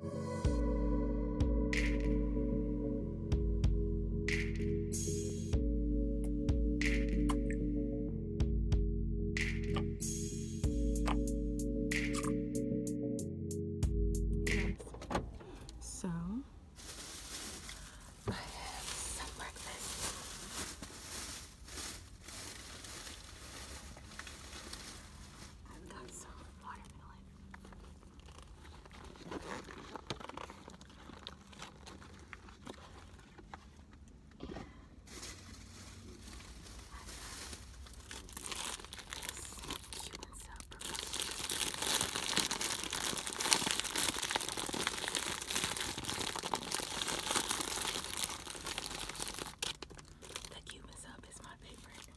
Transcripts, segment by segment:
So, I have some breakfast. I've got some watermelon. The Cuban soap is my favorite.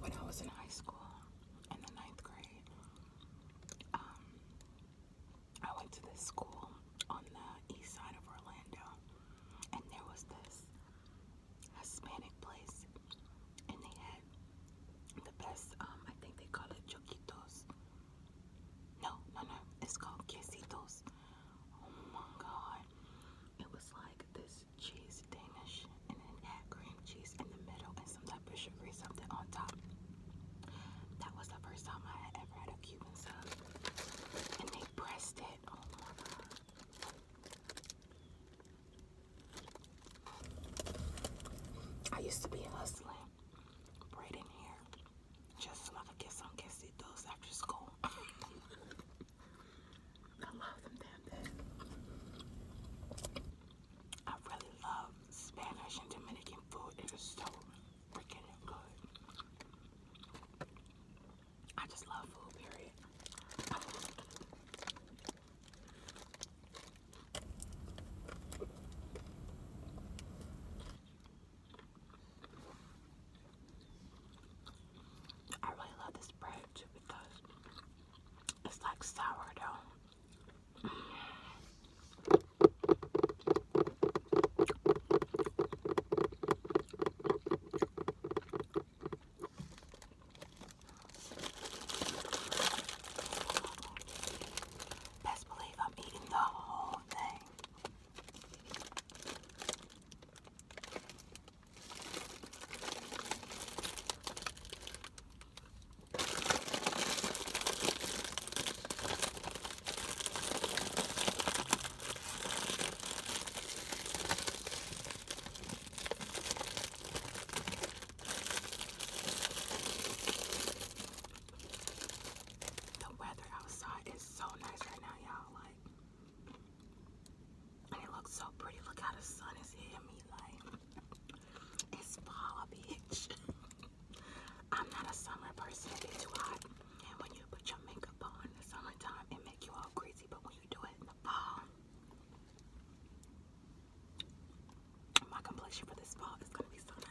When I was in high school in the ninth grade, um, I went to this school on the east side of Orlando, and there was this Hispanic place, and they had the best. Um, I think they call it chiquitos. No, no, no. It's called quesitos. Oh my god! It was like this cheese Danish, and then had cream cheese in the middle and some type of sugary something on top. That was the first time I had ever had a Cuban sub, and they pressed it. all oh over. I used to be hustling, braiding hair, just so I get some kissy do's after school. I love them damn things. I really love Spanish and Dominican food. It is so freaking good. I just love food, period. I really love this bread too because it's like sourdough. Best believe I'm eating the whole thing. The weather outside is so nice right now, y'all. Like, and it looks so pretty. Look how the sun is hitting me. Like, it's fall, bitch. I'm not a summer person. It's too hot. And when you put your makeup on in the summertime, it make you all crazy. But when you do it in the fall. My complexion for this fall is going to be so nice.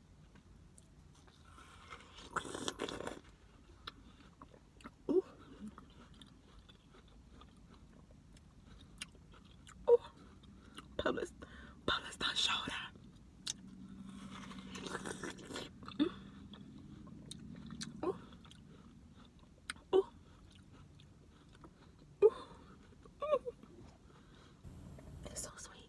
Oh, Ooh. Publish, publish shoulder. Mm. Ooh. Ooh. Ooh. It's so sweet.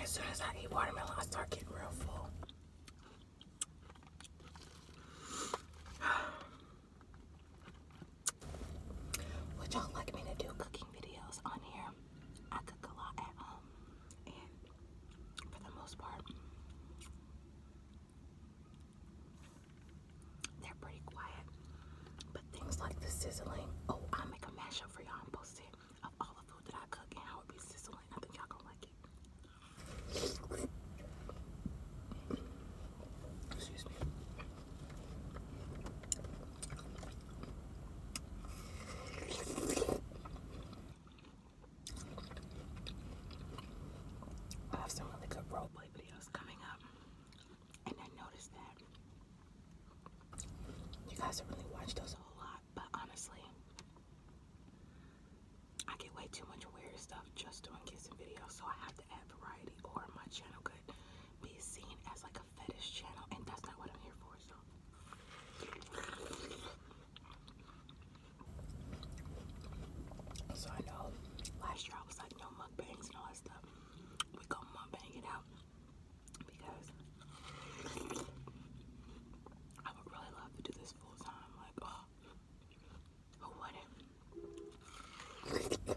As soon as I eat watermelon, I start getting real full. Would y'all like me to do cooking videos on here? I cook a lot at home, and for the most part, they're pretty quiet. But things like the sizzling, oh, I'll make a mashup for y'all and post it. I Excuse me. have some really good role videos coming up, and I noticed that you guys have really watched those a whole lot but honestly, I get way too much weird stuff just doing kissing videos, so I have to add variety, or my channel could be seen as like a fetish channel, and that's not what I'm here for. So. I know last year I was like no mukbangs and all that stuff. We go mukbang it out because I would really love to do this full time. Like, oh, who Bro.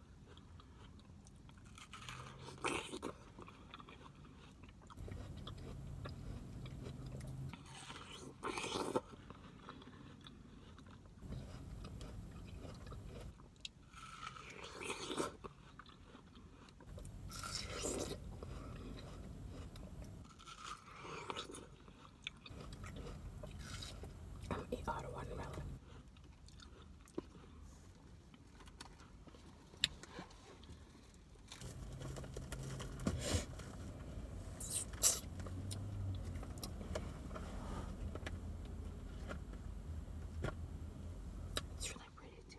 I'm gonna eat all the watermelon. It's really pretty too.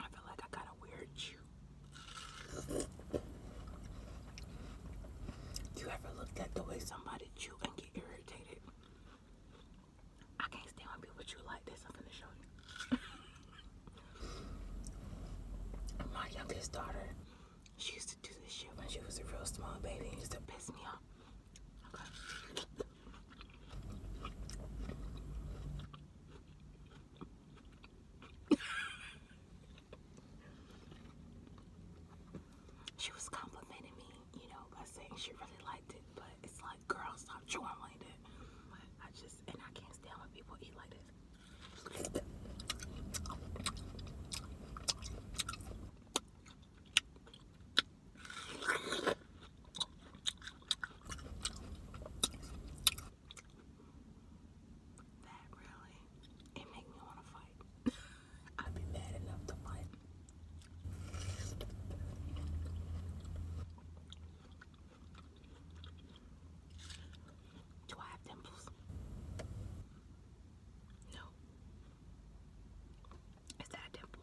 I feel like I got a weird chew. You ever looked at the way somebody chew and get irritated? I can't stand when people chew like this. I'm gonna show you. My youngest daughter, she used to do this shit when she was a real small baby. It used to piss me off. she was complimenting me, you know, by saying she really liked it, but it's like, girl, stop chewing like that. I just, and I can't stand when people eat like this. That really, it make me want to fight. I'd be mad enough to fight. Do I have dimples? No. Is that a dimple?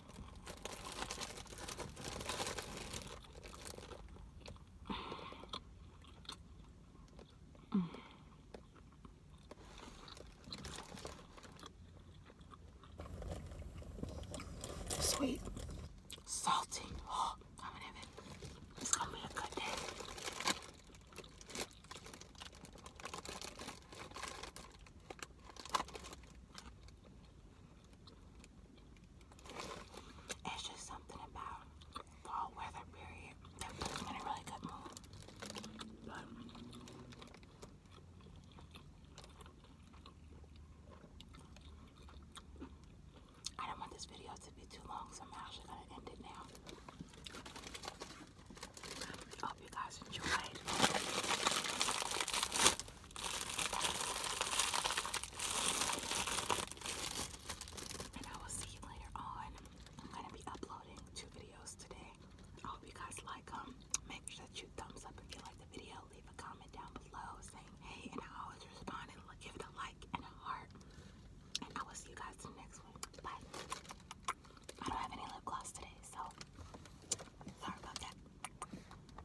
Sweet, salty. Oh, I'm gonna have it. It's gonna be a good day. It's just something about fall weather period that puts me in a really good mood. But I don't want this video to be too long, so I'm actually going to end it now. hope you guys enjoyed. And I will see you later on. I'm gonna be uploading two videos today. I hope you guys like them. Make sure that you thumbs up if you like the video. Leave a comment down below saying hey, and I always respond and give it a like and a heart. And I will see you guys in the next one. Bye. I don't have any lip gloss today, so sorry about that.